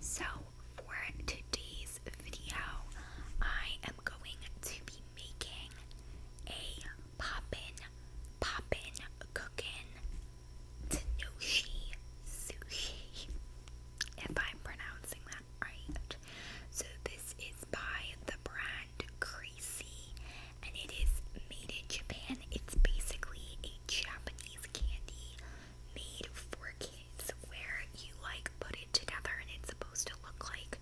So, for today's video, I am going to be making a poppin', poppin', cookin' Tenoshi sushi. If I'm pronouncing that right. So, this is by the brand Creasy and it is made in Japan. It's basically a Japanese candy made for kids where you like put it together and it's supposed to look like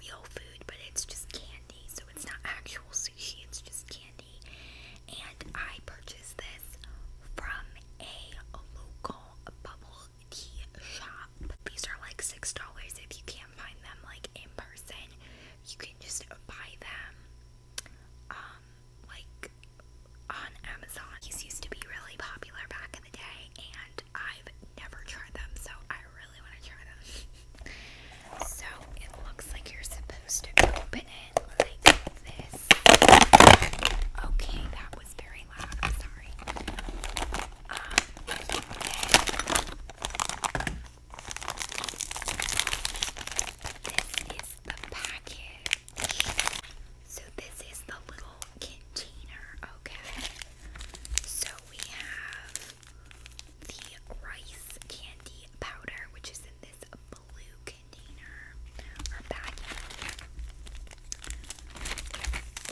real food, but it's just candy. So it's not actual sushi, it's just candy. And I purchased this from a local bubble tea shop. These are like $6 if you can't find them like in person. You can just buy them um, like on Amazon. These used to be really popular back in the day, and I've never tried them, so I really want to try them. so it looks like you're supposed to open it like this. Okay, that was very loud. sorry. Um, a package. So this is the little container, okay? So we have the rice candy powder, which is in this blue container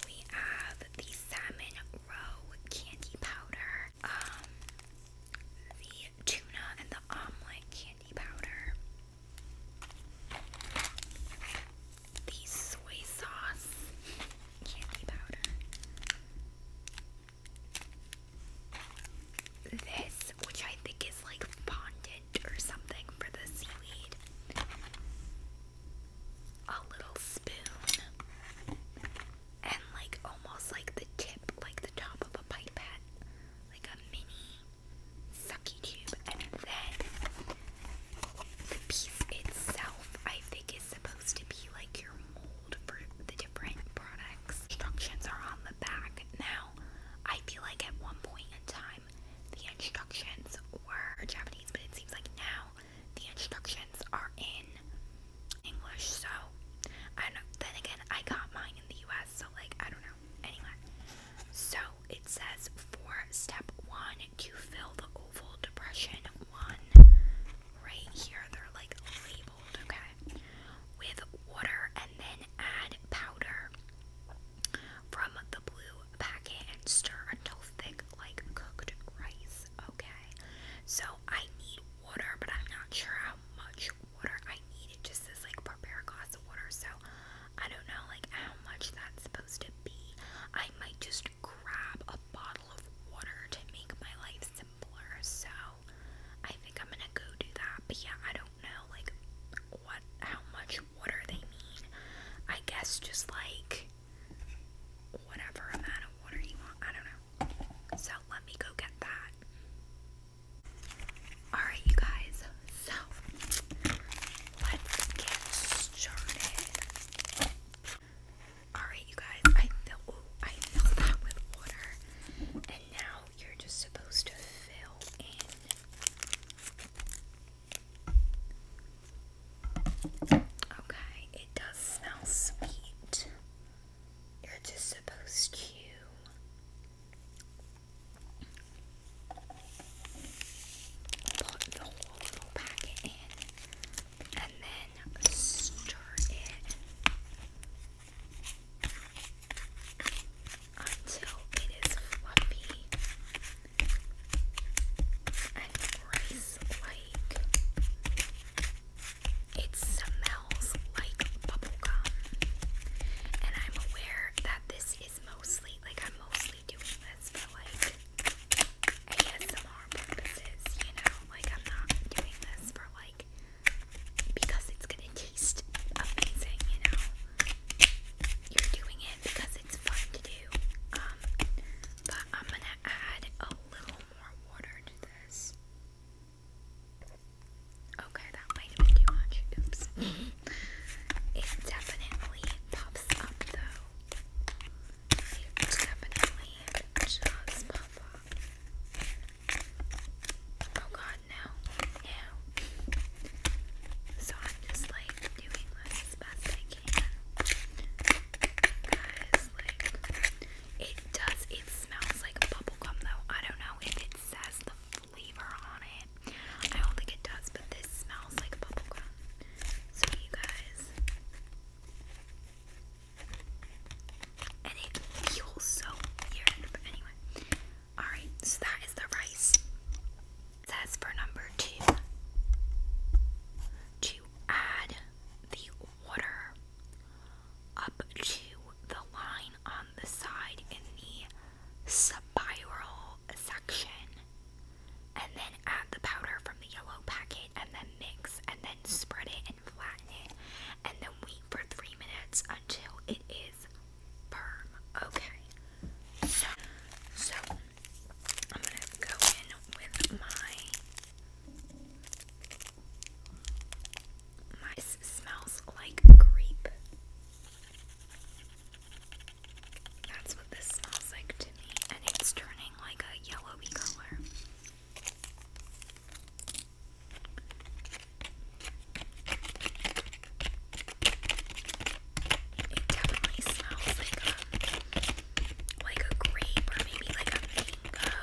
We have the salmon roe candy powder. Um tuna and the omelet candy powder. The soy sauce candy powder. This, which I think is like fondant or something for the seaweed. A little spoon. And like almost like the tip, like the top of a pipette like a mini sucky tube, and then the piece itself, I think, is supposed to be like your mold for the different products. Instructions are on the back. Now, I feel like at one point in time, the instructions were Japanese, but it seems like now the instructions are in English. So, I know. Then again, I got mine in the U.S so like I don't know. Anyway, so it says for step one to fill the oval depression one right here. They're like labeled, okay, with water and then add powder from the blue packet and stir until thick like cooked rice. Okay. So I need water, but I'm not sure how much water I need. just says like prepare a glass of water. So I don't know like how much that's supposed to be. I might just grab a bottle of water to make my life simpler. So I think I'm gonna go do that. But yeah, I don't know like what how much water they mean. I guess just like whatever amount of water you want. I don't know. So let me go get that. Alright, you guys, so let's get started. Alright, you guys, I fill, I fill that with water, and now you're just supposed to fill in. Okay, it does smell sweet. You're just supposed to Put the whole little packet in and then stir it until it is fluffy and rice like. It smells like bubblegum. And I'm aware that this is mostly, like, I'm mostly doing this for, like, ASMR purposes, you know? Like, I'm not doing this for, like, because it's gonna taste amazing, you know? You're doing it because it's fun to do. Um, but I'm gonna add a little more water to this. Okay, that might have been too much. Oops. it definitely puffs up though. It definitely just puff up. Oh god, no. No. So I'm just like doing this as best I can. Guys, like it does it smells like bubble gum, though. I don't know if it says the flavor on it. I don't think it does, but this smells like bubblegum. So, you guys. And it feels so weird. But anyway. Alright, so that is the rice. says for number two to add the water up to the line on the side in the spiral section. And then add the powder from the yellow packet and then mix and then spread it and flatten it. And then wait for three minutes until it is firm. Okay. so I'm going to go in with my my smells like grape. That's what this smells like to me, and it's turning like a yellowy color. It definitely smells like a um, like a grape or maybe like a mango.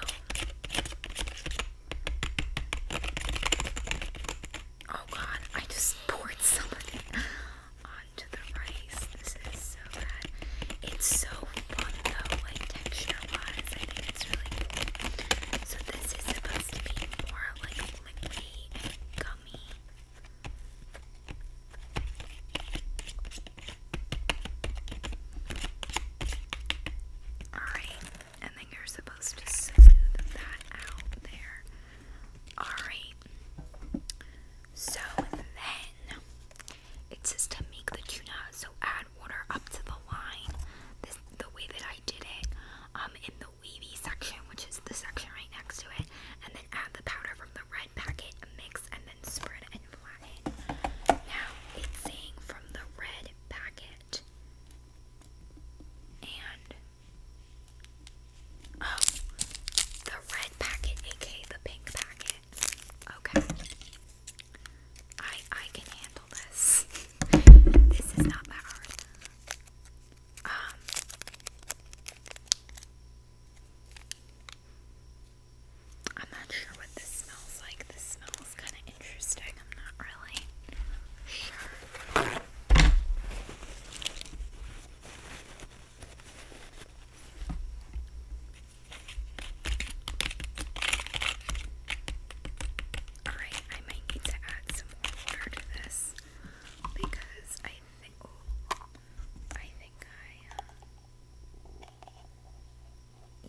Oh god, I just poured some of it onto the rice. This is so bad. It's so fun though, like texture-wise. I think it's really cool. So this is supposed to be more like liquidy and gummy. Alright, and then you're supposed to smooth that out there. Alright. So then it says to make the tuna, so add water up to the line. This the way that I did it. Um in the wavy section, which is the section right next to it, and then add the powder from the red packet, mix and then spread and flatten. Now it's saying from the red packet. And oh, the red packet, aka the pink packet. Okay, I I can handle this. this is not that hard. Um, I'm not sure what this smells like. This smells kind of interesting. I'm not really sure. Alright, I might need to add some water to this because I think oh, I uh,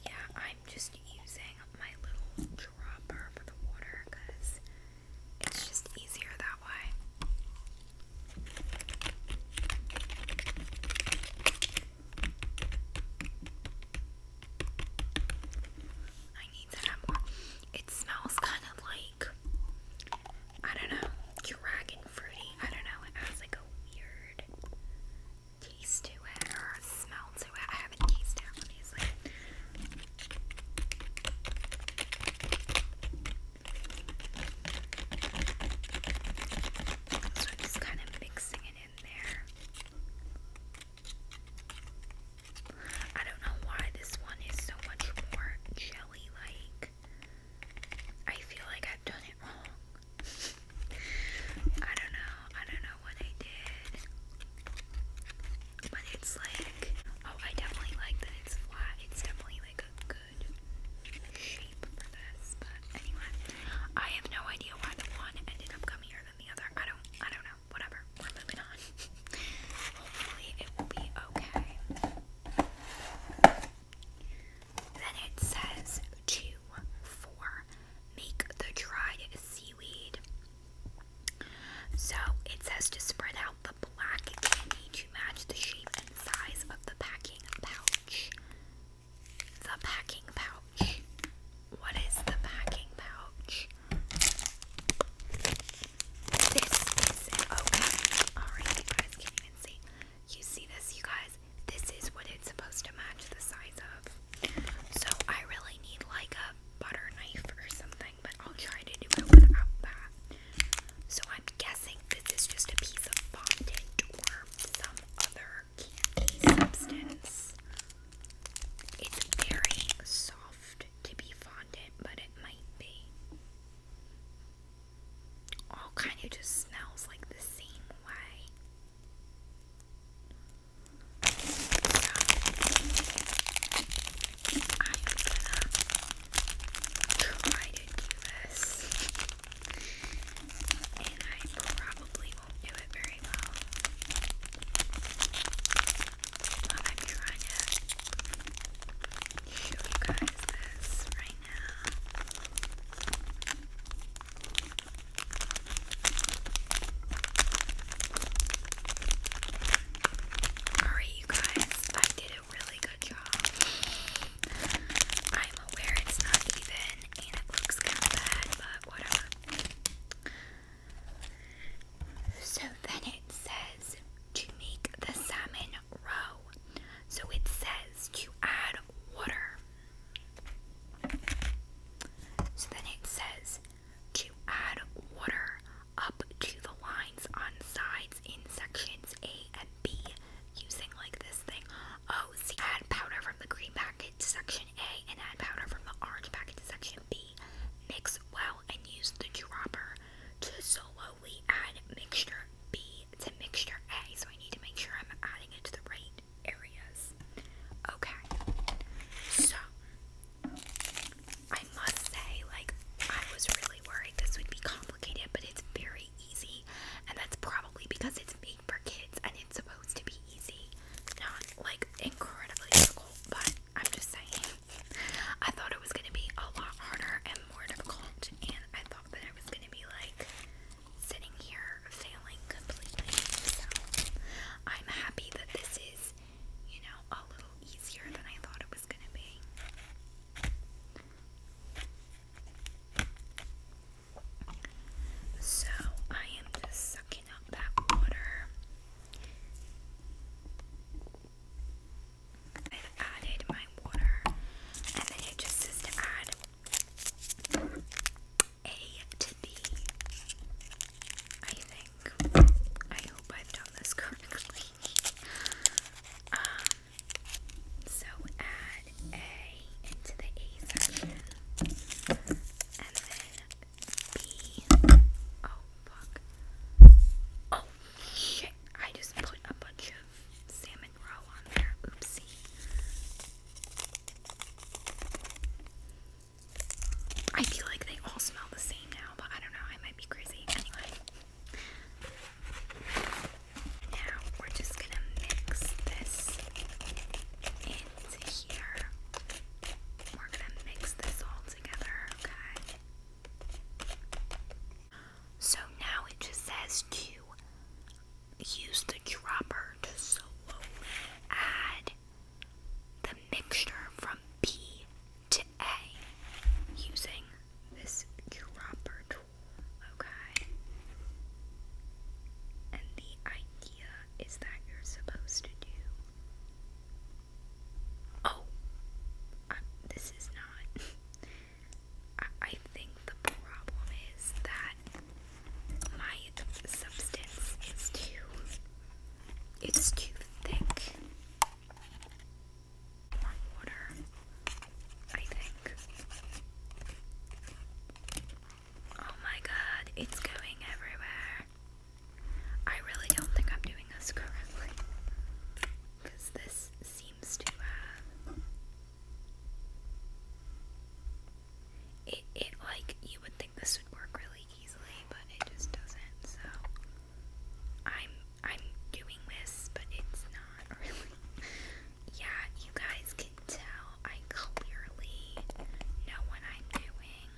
yeah, I'm just using my little dropper for the water because it's just easier that way. I need to It smells kind of like, I don't know, dragon fruity. I don't know, it has like a weird taste to it or smell to it. I haven't tasted it, honestly. So I'm just kind of mixing it in there. I don't know why this one is so much more jelly like. I feel like I've done it wrong. I don't know. I don't know what I did. But it's like, oh, I definitely like that it's flat. It's definitely like a good shape for this. But anyway, I have no idea why the one ended up coming here than the other. I don't, I don't know. Whatever. We're moving on. Hopefully it will be okay. Then it says two, four, make the dried seaweed. So it says to spread out the black candy to match the shape and size of the packing pouch. The packing pouch. What is the packing pouch? This is it. Okay. Alright, you guys can't even see. You see this, you guys? This is what it's supposed to match the size of. So I really need like a butter knife or something, but I'll try to do it without that. So I'm guessing this is just a piece of fondant or some other candy substance. It's very soft to be fondant, but it might be. All kind of just smells like the same way try to do this. And I probably won't do it very well. But I'm trying to show you guys this right now. Alright, you guys, I did a really good job. I'm aware it's not even and it looks kind of bad, but whatever. So then it says to make the salmon grow. So it says to add water. So then it says to add water up to the lines on sides in sections A and B using like this thing. Oh, see, add powder from the green packet to section A and add powder from the orange packet to section B. Mix well and use the dropper to slowly add mixture B to mixture A. So I need to make sure I'm adding it to the right areas. Okay, so I must say, like, I was really worried this would be complicated, but it's very easy, and that's probably because it's made for kids and it's supposed to be easy, not like incredibly difficult. But I'm just saying, I thought it was gonna be a lot harder and more difficult, and I thought that I was gonna be like sitting here failing completely. I'm happy that this is, you know, a little easier than I thought it was going to be. So I am just sucking up that water. I've added my water, and then it just says to add a to B. I think. I hope I've done this correctly. um, so add A into the A section. And then B. Oh, fuck. Oh, shit. I just put a bunch of salmon roe on there. Oopsie. I feel like they all smell the same now, but I don't know, I might be crazy. Anyway. Now we're just gonna mix this into here. We're gonna mix this all together, okay? So now it just says to use the dropper to slowly add the mixture from B to A using this dropper tool. Okay? And the idea is that you're supposed to do. Oh! Uh, this is not. I think the problem is that my substance is too it's too thick more water I think oh my god it's going everywhere I really don't think I'm doing this correctly because this seems to uh, it, it like you would think this would work really easily, but it just doesn't. So I'm I'm doing this, but it's not really. yeah, you guys can tell I clearly know what I'm doing.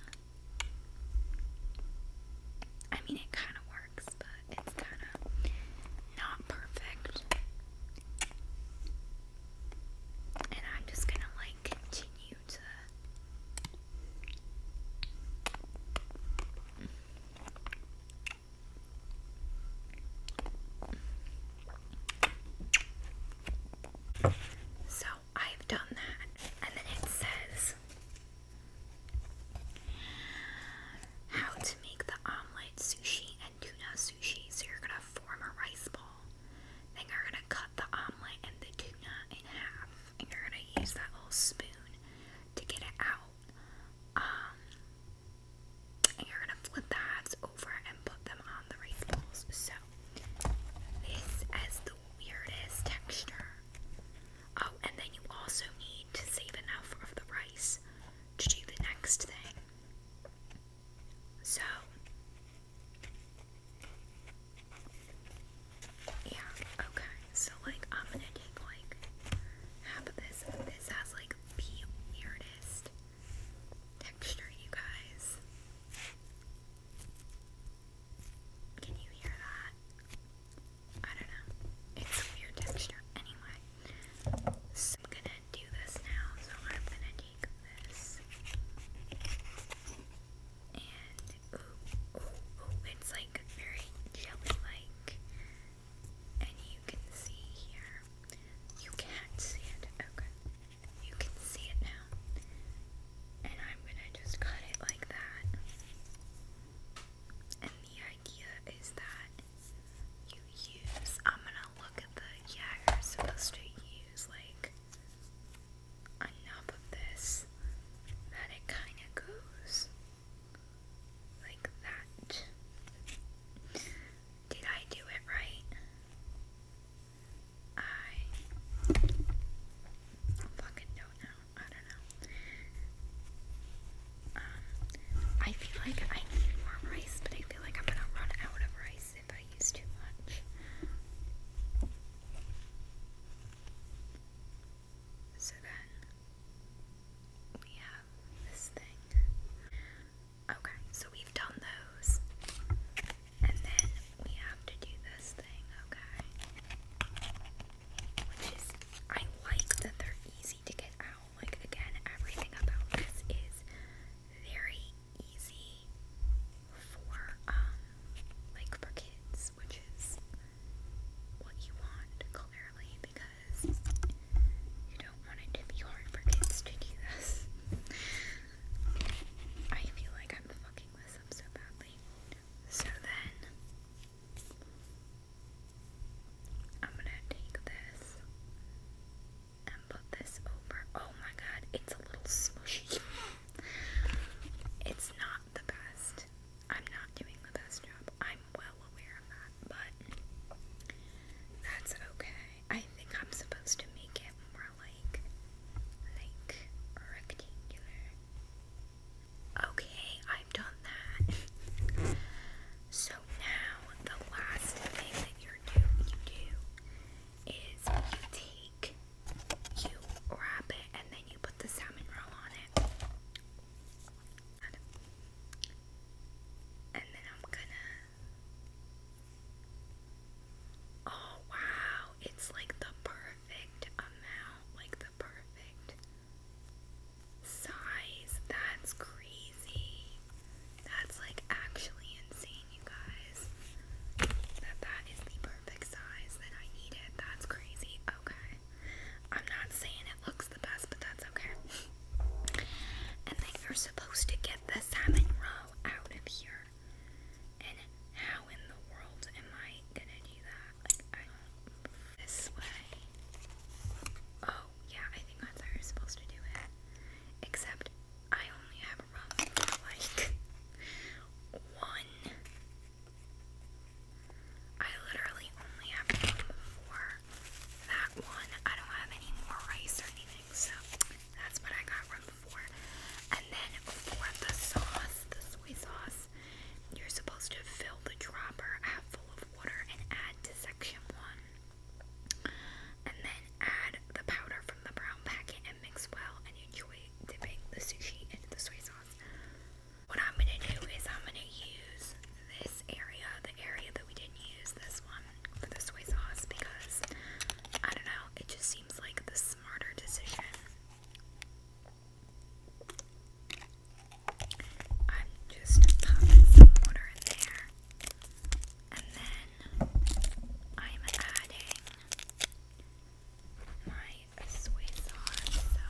I mean, it kind of works, but it's kind of not perfect. And I'm just gonna lay so I've done that, and then it says how to make the omelette, sushi, and tuna so you're gonna form a rice ball. Then you're gonna cut the omelet and the tuna in half, and you're gonna use that little spoon to get it out. Um, and you're gonna flip the halves over and put them on the rice balls. So this is the weirdest texture. Oh, and then you also need to save enough of the rice to do the next thing. So, yeah, okay. So, like, I'm gonna take, like, half of this. This has, like, the weirdest texture, you guys. Can you hear that? I don't know. It's weird texture. Anyway, so I'm gonna do this now, so I'm gonna take this. And ooh, ooh, ooh, it's like very jelly-like. And you can see here. You can't see it. Okay. You can see it now. And I'm gonna just cut it like that. And the idea is that you use, I'm gonna look at the, yeah, you're supposed to use like enough of this that it kind of goes like that. Did I do it right? I don't know. I don't know. Um, I feel like I need more rice, but I feel like I'm gonna run out of rice. I Okay, so we've done those. And then we have to do this thing, okay? like that they're easy to get out. Like, again, everything about this is very easy for um like for kids, which is what you want clearly because you don't want it to be hard for kids to do this. I feel like I'm fucking this up so badly. So then I'm gonna take this and put this over. Oh my god, it's a little smushy. it's not the best. I'm not doing the best job. I'm well aware of that, but that's okay. I think I'm supposed to make it more like like rectangular. Okay, I've done that. so now the last thing that you do is you take, you wrap it, and then you put the salmon roll on it. And then I'm gonna. Oh wow, it's like the perfect amount, like the perfect size. That's great. That's like actually insane, you guys. That that is the perfect size that I needed. That's crazy. Okay. I'm not saying it looks the best, but that's okay. and then you're supposed to get the salmon row out of here. And how in the world am I gonna do that? This way. Oh, yeah, I think that's how you're supposed to do it. Except I only have like one. I literally only have room for that one. I don't have any more rice or anything, so that's what I got room for. And then for the sauce, the soy sauce, you're supposed to fill the dropper half full of water and add to section one. And then add the powder from the brown packet and mix well and enjoy dipping the sushi into the soy sauce. What I'm going to do is I'm going to use this area, the area that we didn't use, this one, for the soy sauce because, I don't know, it just seems like the smarter decision. I'm just popping water in there. And then I'm adding my soy sauce. So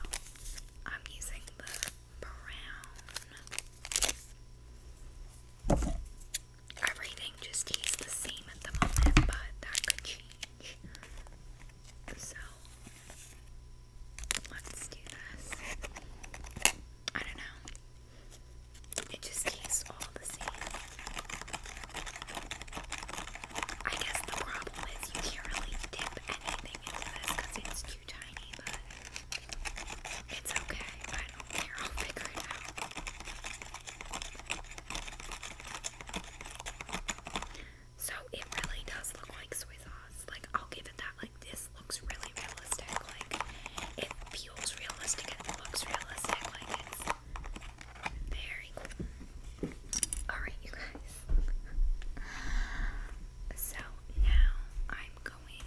I'm using the brown. Everything just tastes the same at the moment, but that could change. So let's do this. I don't know. It just tastes all the same. I guess the problem is you can't really dip anything into this because it's too tiny, but it's okay. I don't care. I'll figure So it really does look like soy sauce. Like I'll give it that. Like this looks really realistic. Like if it looks realistic. Like it's very Alright, you guys. So now I'm going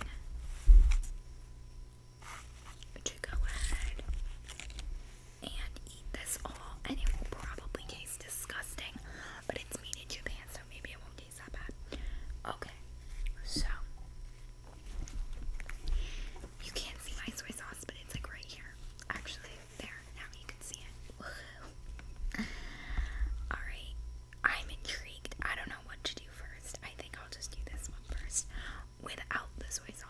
to go ahead and eat this all, and it will probably taste disgusting, but it's made in Japan, so maybe it won't taste that bad. Okay, so you can't see my soy sauce, but it's like right here. Actually, there. Now you can see it. Alright, I'm intrigued. I don't know what to do first. I think I'll just do this one first without the soy sauce.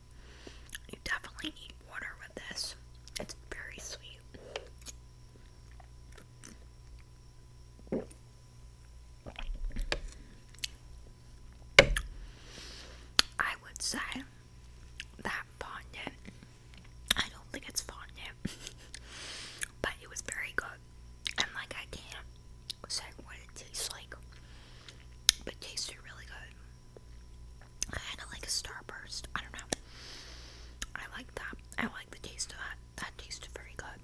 You definitely need water with this. It's very sweet. I would say that fondant, I don't think it's fondant, but it was very good. And like, I can't say what it tastes like, but tasted really good kind of like a starburst. I don't know. I like that. I like the taste of that. That tasted very good.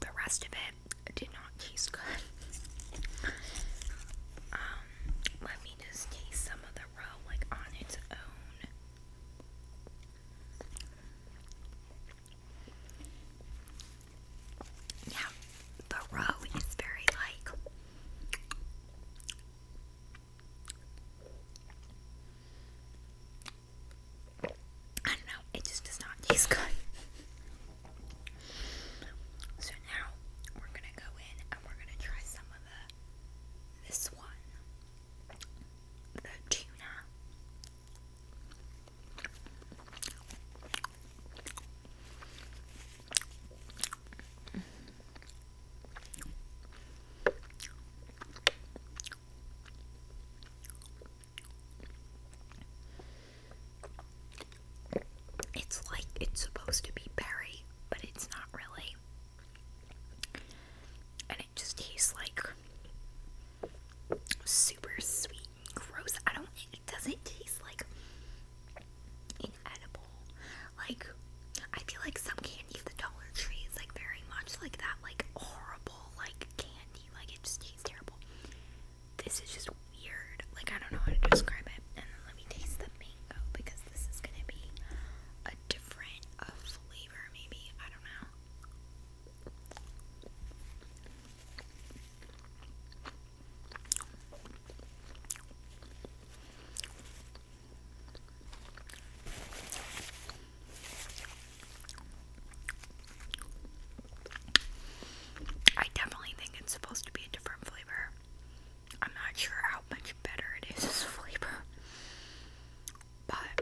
The rest of it did not taste good. um, let me just taste some of the roe like on its own. Yeah, the roe is very like I don't know, it just does not taste good. so now we're gonna go in and we're gonna try some of this one. The tuna. It's like it's supposed to be berry, but it's not really. And it just tastes like super sweet and gross. I don't it doesn't taste like inedible. Like, I feel like some candy at the Dollar Tree is like very much like that, like horrible, like candy. Like, it just tastes terrible. This is just weird. Like, I don't know how to describe it. And then let me taste the mango because this is gonna be a different uh, flavor, maybe. I don't know. I definitely think it's supposed to be a different flavor. I'm not sure how much better it is as flavor, but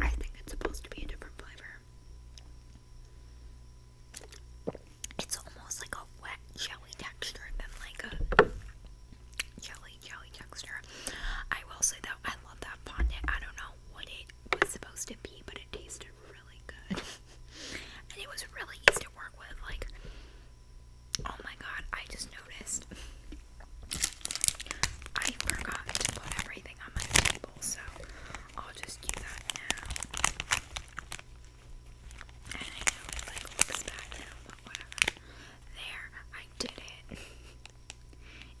I think it's supposed to be a different flavor. It's almost like a wet jelly texture than like a jelly jelly texture. I will say though, I love that fondant. I don't know what it was supposed to be, but it tasted really good. and it was really easy to work with. Like, oh my god, I just noticed. I forgot to put everything on my table, so I'll just do that now. There, I did it.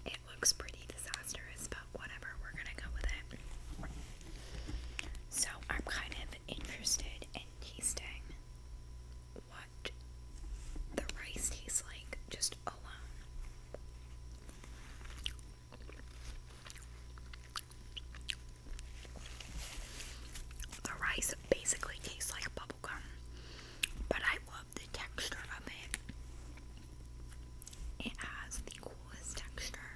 It looks pretty disastrous, but whatever, we're gonna go with it. So I'm kind of interested in tasting what the rice tastes like just alone. The rice basically tastes like bubble gum, but I love the texture of it. It has the coolest texture.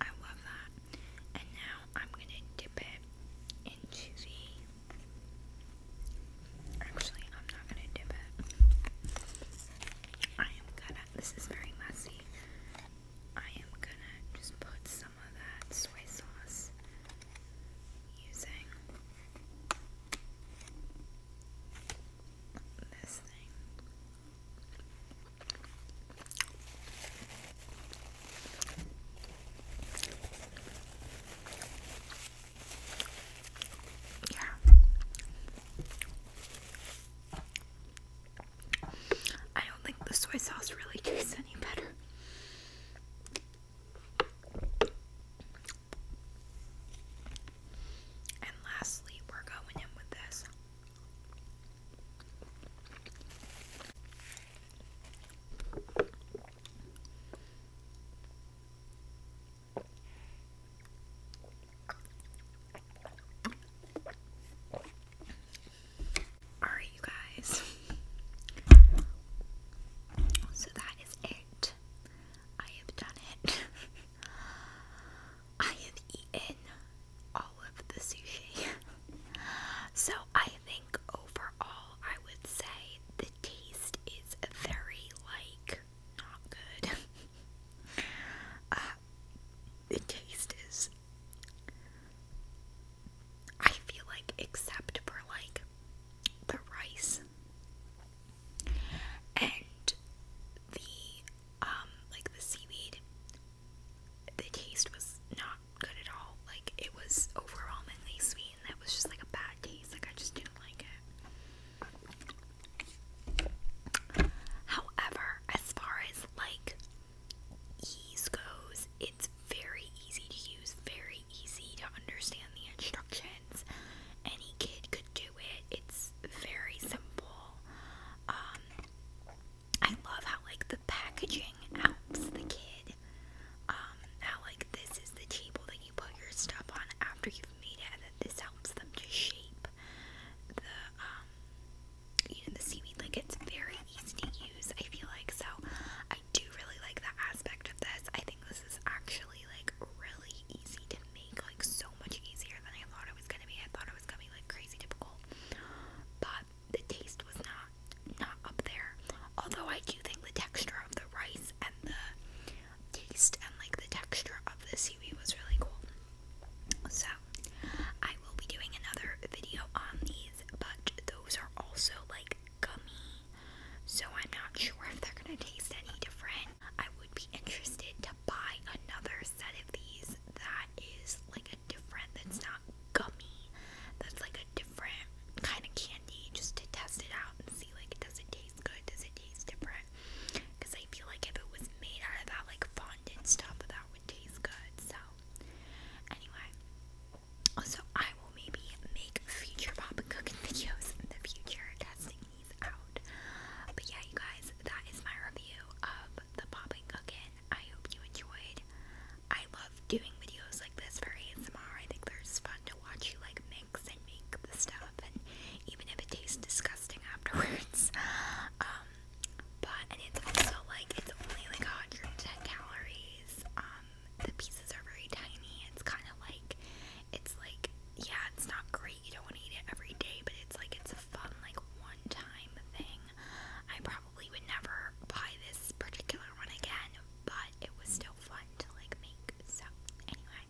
I love that. And now I'm going to dip it into the. Actually, I'm not going to dip it. I am gonna. This is very messy. I am gonna just put some of that soy sauce using this thing. Yeah. I don't think the soy sauce really tastes any better. And lastly, we're going in with this. Alright, you guys. So that is it. I have done it. I have eaten all of the sushi. so I think overall, I would say the taste is very like not good. Uh, the taste is I feel like except for like the rice and the um like the seaweed the taste was not good at all. Like it was overwhelmingly sweet and that was just like a bad taste. Like I just didn't like it. However, as far as like ease goes, it's very easy to use, very easy to understand the instructions. Any kid could do it. It's very simple. Um, I love how like the packaging helps the kid. Um, how like this is the table that you put your stuff on after you've made it, this helps them to shape the um you the seaweed like it's very easy to use I feel like so I do really like that aspect of this I think this is actually like really easy to make like so much easier than I thought it was gonna be I thought it was gonna be like crazy difficult but the taste was not not up there although I do think the texture of the rice and the taste and like the texture of the seaweed was really cool so, I will be doing another video on these, but those are also like gummy, so I'm not sure if they're gonna taste any different. I would be interested to buy another set of these that is like a different, that's not gummy, that's like a different kind of candy just to test it out and see like does it taste good, does it taste different. Because I feel like if it was made out of that like fondant stuff, that would taste good. So Anyway, also I will maybe make future pop cooking videos in the future, testing these out. But yeah, you guys, that is my review of the pop cooking. I hope you enjoyed. I love doing videos like this for ASMR. I think it's fun to watch you like mix and make the stuff, and even if it tastes disgusting afterwards. Um, but and it's also like it's only like 110 calories. Um, the pieces are very tiny. It's kind of like it's like yeah, it's not great. You don't want to eat it every day, but it's like it's a fun like one-time thing. I probably would never buy this particular one again, but it was still fun to like make. So anyway,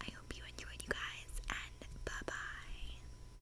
I hope you enjoyed, you guys, and bye bye.